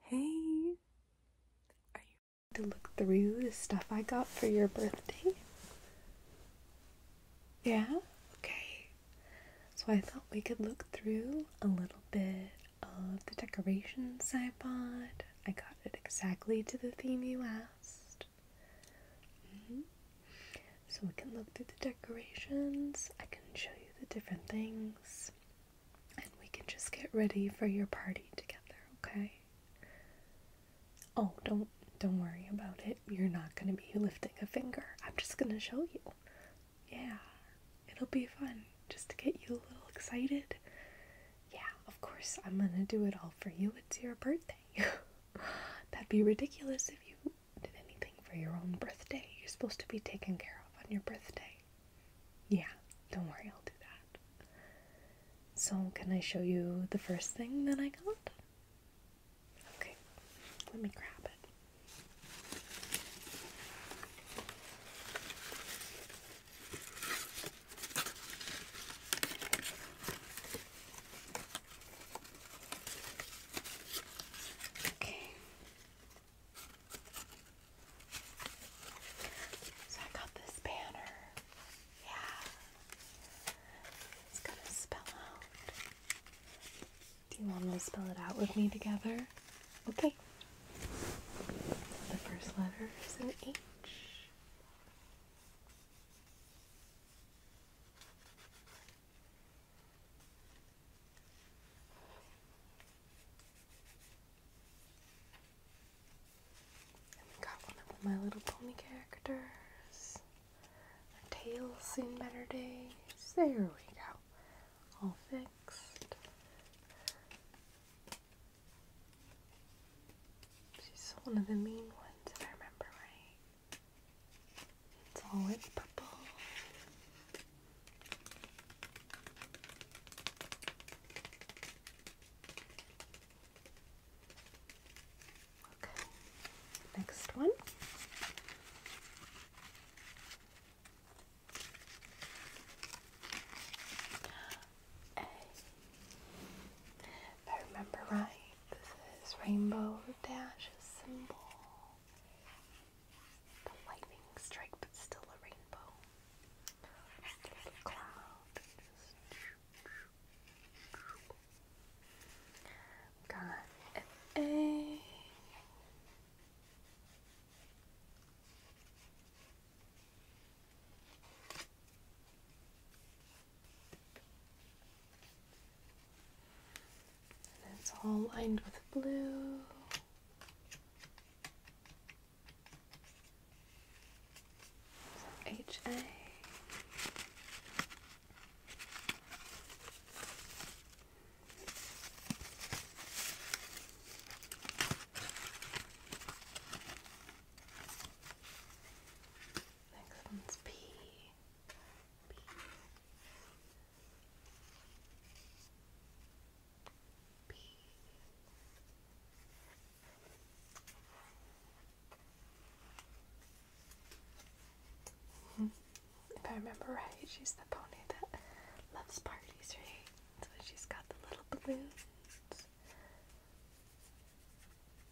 Hey, are you ready to look through the stuff I got for your birthday? Yeah, okay. So I thought we could look through a little bit of the decorations I bought. I got it exactly to the theme you asked. Mm-hmm. So we can look through the decorations. I can show you the different things. And we can just get ready for your party together, okay? Oh, don't don't worry about it. You're not going to be lifting a finger. I'm just going to show you. Yeah. It'll be fun just to get you a little excited. Yeah, of course. I'm going to do it all for you. It's your birthday. That'd be ridiculous if you did anything for your own birthday. You're supposed to be taken care of on your birthday. Yeah, don't worry, I'll do that. So, can I show you the first thing that I got? Okay, let me grab it. So I got this banner. Yeah. It's gonna spell out. Do you want to spell it out with me together? Okay. The first letter is an H got one of my little pony characters. Her tail's seen better days. There we go. All fixed. She's one of the mean ones, if I remember right. It's always purple. Okay, next one. A. If I remember right, this is Rainbow Dash's symbol. The lightning strike, but still a rainbow. little cloud. Just... A. And it's all lined with blue. HA. Next one's P. P. P. Mm-hmm. If I remember right, she's the pony that loves parties, right? So she's got the little balloons.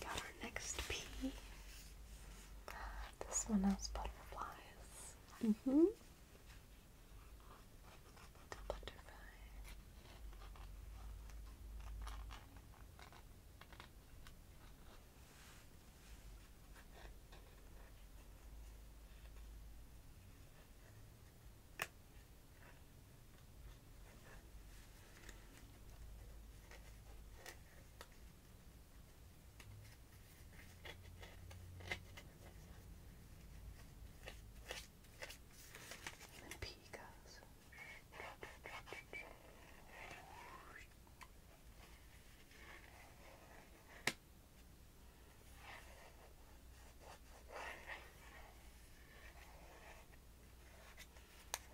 got our next P. This one has butterflies. hmm. Butterfly. Even pee goes.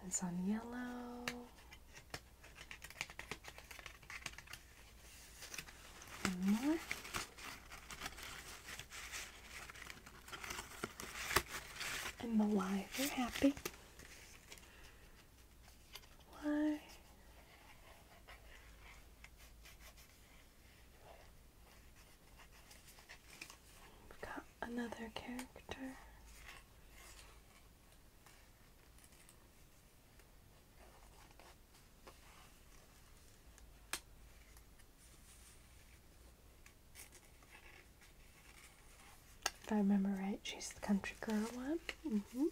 It's on yellow. One more. And the live are happy. Why? We've got another character. If I remember right, she's the country girl one. Mm -hmm.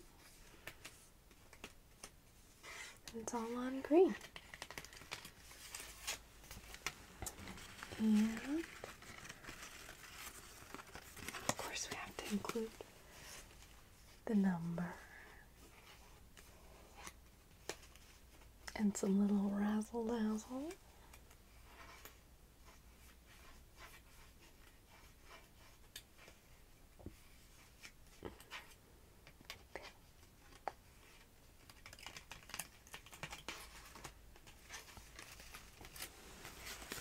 And it's all on green. And of course we have to include the number and some little razzle dazzle.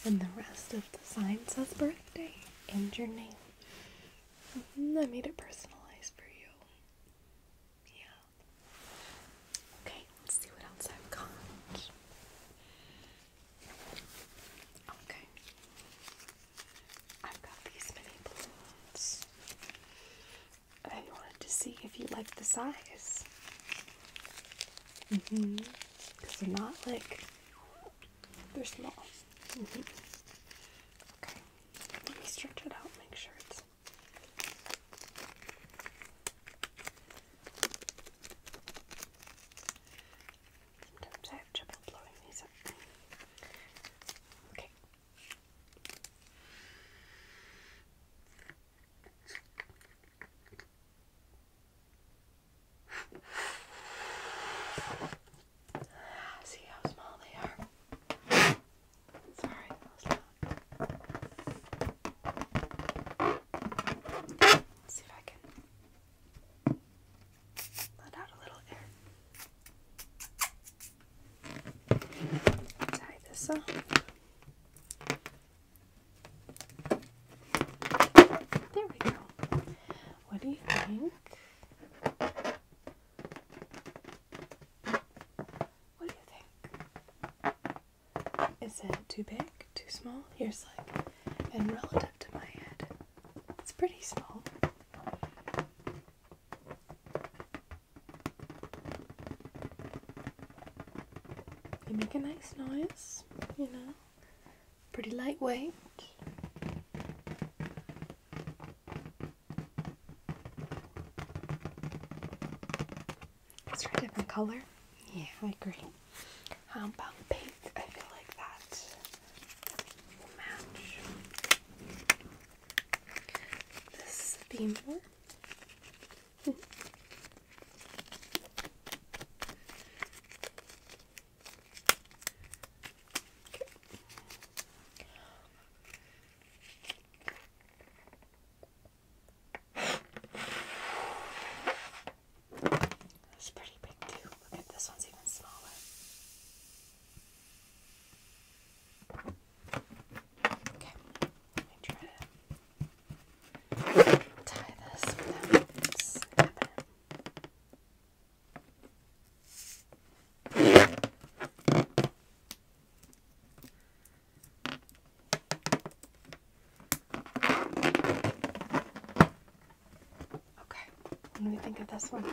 And the rest of the sign says birthday and your name. Mm-hmm, I made it personalized for you. Yeah. Okay, let's see what else I've got. Okay. I've got these mini balloons. And I wanted to see if you like the size. hmm Because they're not like they're small. Mm-hmm. Okay. Let me stretch it out, make sure it's Sometimes I have trouble blowing these up. Okay. Ah, see how small they are. Sorry, Let's see if I can let out a little air. Tie this off. There we go. What do you think? What do you think? Is it too big? Too small? Here's like, and relative to my head, it's pretty small. You make a nice noise, you know, pretty lightweight. Let's try a different color. Yeah, I agree. How about pink? I feel like that will match this theme more. That's pretty big too. Look at this one's even smaller. Okay, let me try to tie this without snapping. Okay, what do we think of this one?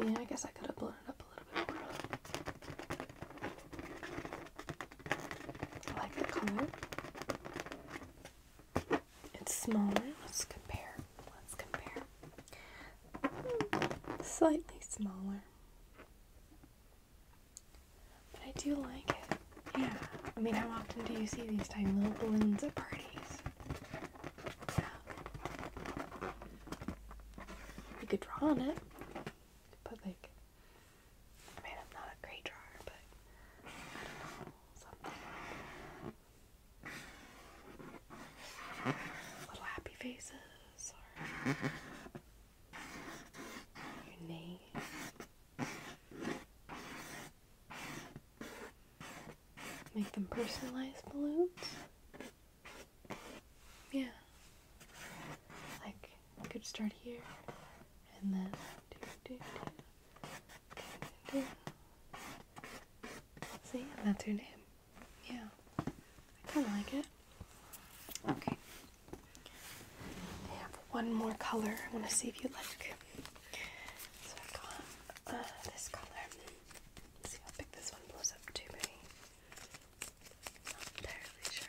Yeah, I guess I could have blown it up a little bit more. I like the color. It's smaller. Let's compare. Let's compare. Hmm, slightly smaller. But I do like it. Yeah. I mean, how often do you see these tiny little balloons at parties? So, you could draw on it. But, like, I mean, I'm not a great drawer, but little happy faces or Make them personalized balloons. Yeah. Like, could start here and then so yeah, that's her name. Yeah. I kinda like it. Okay. I one more color I wanna see if you like. So i got uh, this color. see if I this one blows up too many. Not entirely sure.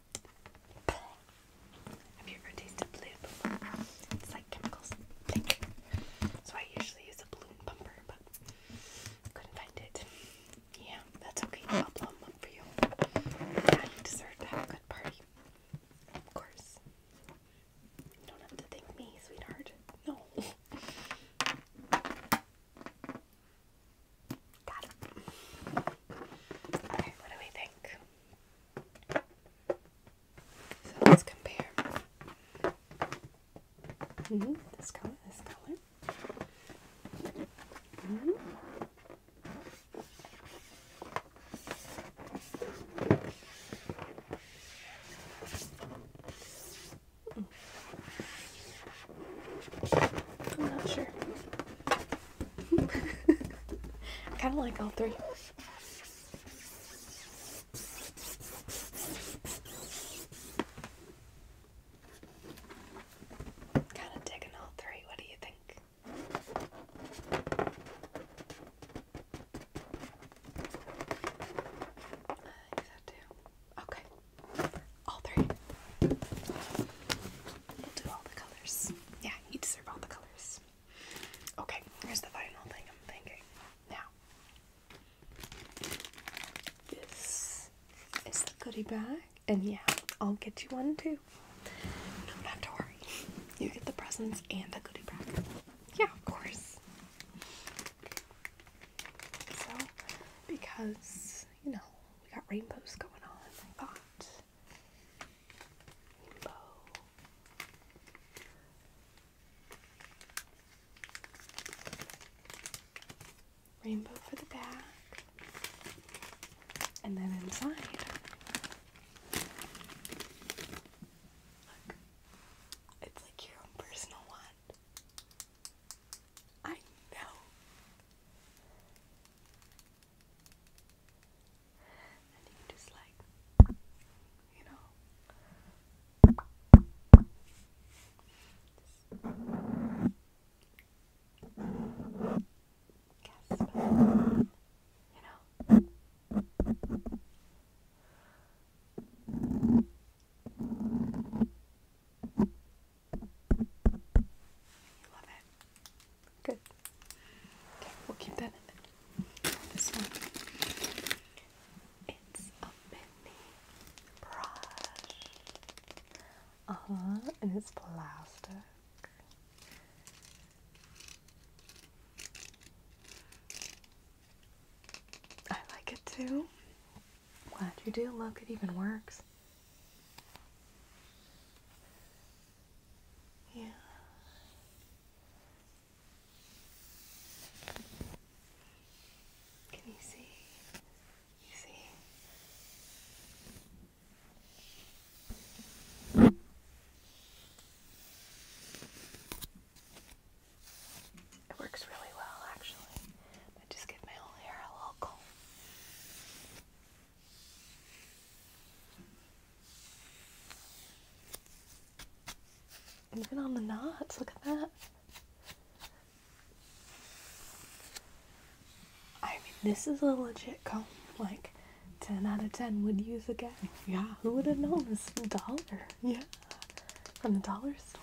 have you ever tasted blue It's like chemicals. So I usually use a balloon bumper, but couldn't find it. Yeah, that's okay. i for you. Yeah, you deserve to have a good party. Of course. You don't have to thank me, sweetheart. No. Got what do we think? So let's compare. Mm-hmm, this color, this color. Mm-hmm. I'm not sure kind of like all three. Kind of digging all three. What do you think? I think so too. Okay. All three. We'll do all the colors. Yeah, you deserve all the colors. Okay, here's the final thing I'm thinking. Now, this is the goodie bag, and yeah, I'll get you one too. You don't have to worry. You get the presents and the goodie bag. Yeah, of course. So, because, you know, we got rainbows going on like that. Rainbow. Rainbow for the back. And then inside. Look. It's like your own personal one. I know. And you just like, you know. Guess, but, you know. You love it. Good. Okay, we'll keep that in there. This one. It's a mini brush. Uh-huh, and it's plastic. I like it too. Glad you do. Look, it even works. Yeah. Can you see? You see? It works really well, actually just give my whole hair a little comb. Even on the knots, look at that. I mean, this is a legit comb. Like, 10 out of 10 would use again. Yeah, who would have known this dollar? Yeah, from the dollar store.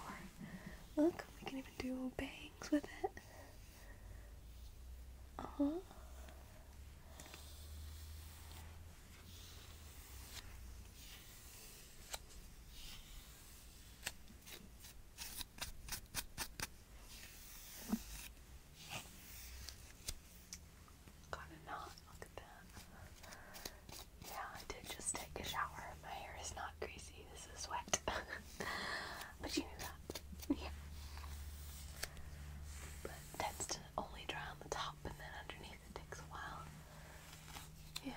Look think we can even do bangs with it. Uh huh. Got a knot. Look at that. Yeah, I did just take a shower. My hair is not green crazy, this is wet. but you knew that. Yeah. tends to only dry on the top and then underneath it takes a while. Yeah.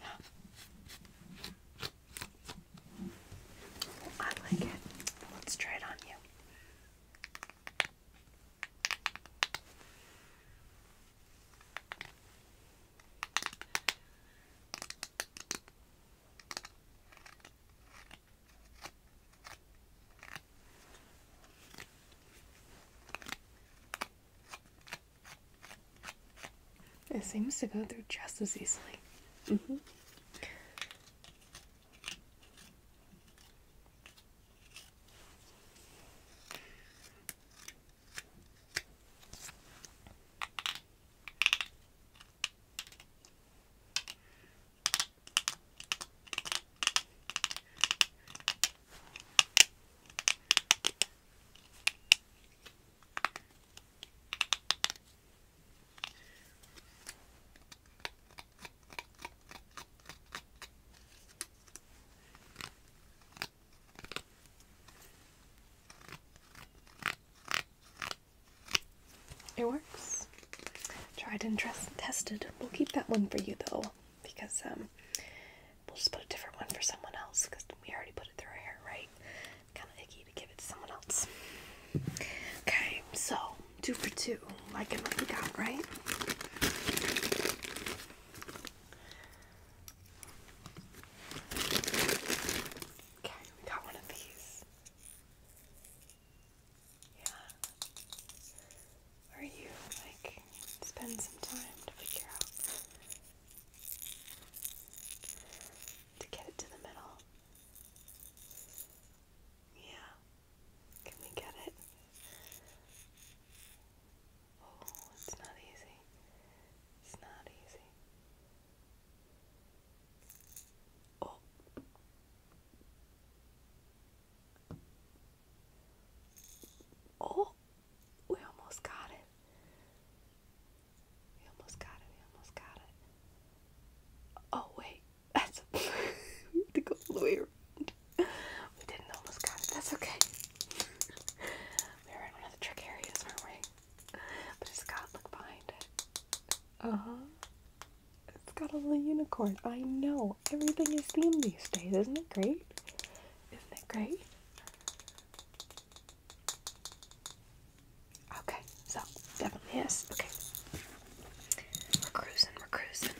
Yeah. I like it. Let's try it on you. It seems to go through just as easily. Mm-hmm. It works. Tried and tested. We'll keep that one for you though, because um, We'll just put a different one for someone else because we already put it through our hair, right? Kind of icky to give it to someone else. Okay, so two for two, like I we got, right? Okay, we got one of these. Yeah. Where you like spend some time to figure out to get it to the middle. Yeah. Can we get it? Oh, it's not easy. It's not easy. Oh. Oh. We almost got it. We almost got it. We almost got it. Oh wait, that's a we have to go all the way around. We didn't almost got it. That's okay. we were in one of the trick areas, weren't we? But it's got look behind it. Uh huh. It's got a little unicorn. I know. Everything is themed these days. Isn't it great? Isn't it great? Okay, so definitely yes. Okay. We're cruising, we're cruising.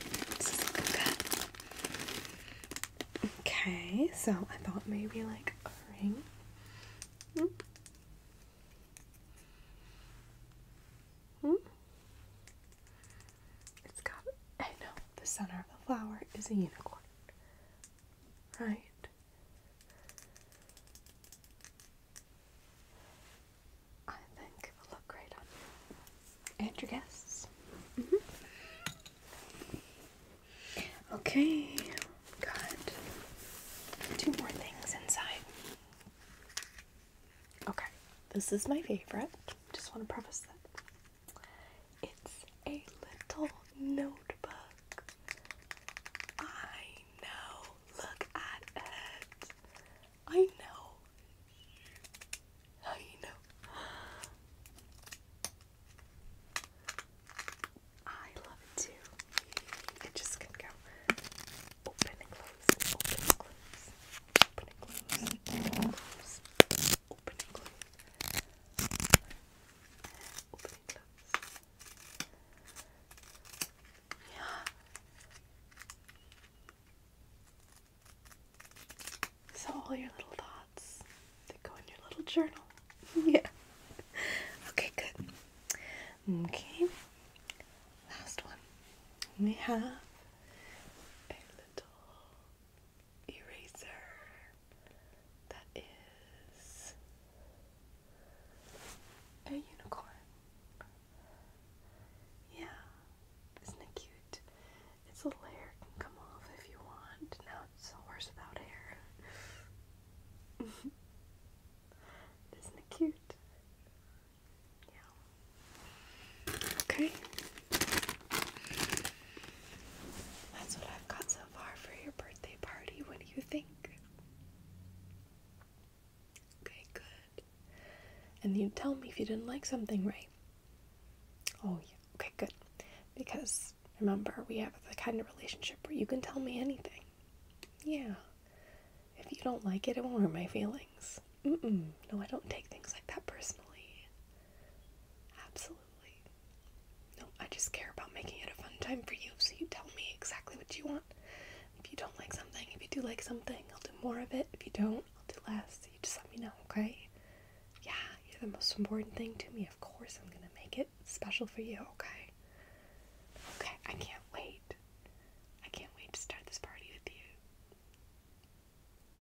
Okay, so I thought maybe like a ring. Mm. Mm. It's got, I know, the center of the flower is a unicorn. Right. I think it will look great on you. And your guests. Mm-hmm. Okay, got two more things inside. Okay, this is my favorite. Just want to preface that. It's a little notebook. I know. Look at it. I know. I know. I love it too. It just can go open and close, open and close, open and close, so all your little thoughts, that go in your little journal. yeah. Okay, good. Okay. Last one. We have a little eraser that is a unicorn. Yeah, isn't it cute? Its little hair can come off if you want. Now it's a horse without hair. isn't it cute? Yeah. Okay. That's what I've got so far for your birthday party. What do you think? Okay, good. And you tell me if you didn't like something, right? Oh, yeah. Okay, good. Because remember, we have the kind of relationship where you can tell me anything. Yeah. If you don't like it, it won't hurt my feelings. No, I don't take things like that personally. Absolutely. No, I just care about making it a fun time for you, so you tell me exactly what you want. If you don't like something, if you do like something, I'll do more of it. If you don't, I'll do less. You just let me know, okay? Yeah, you're the most important thing to me. Of course, I'm gonna make it special for you, okay? Okay, I can't wait. I can't wait to start this party with you.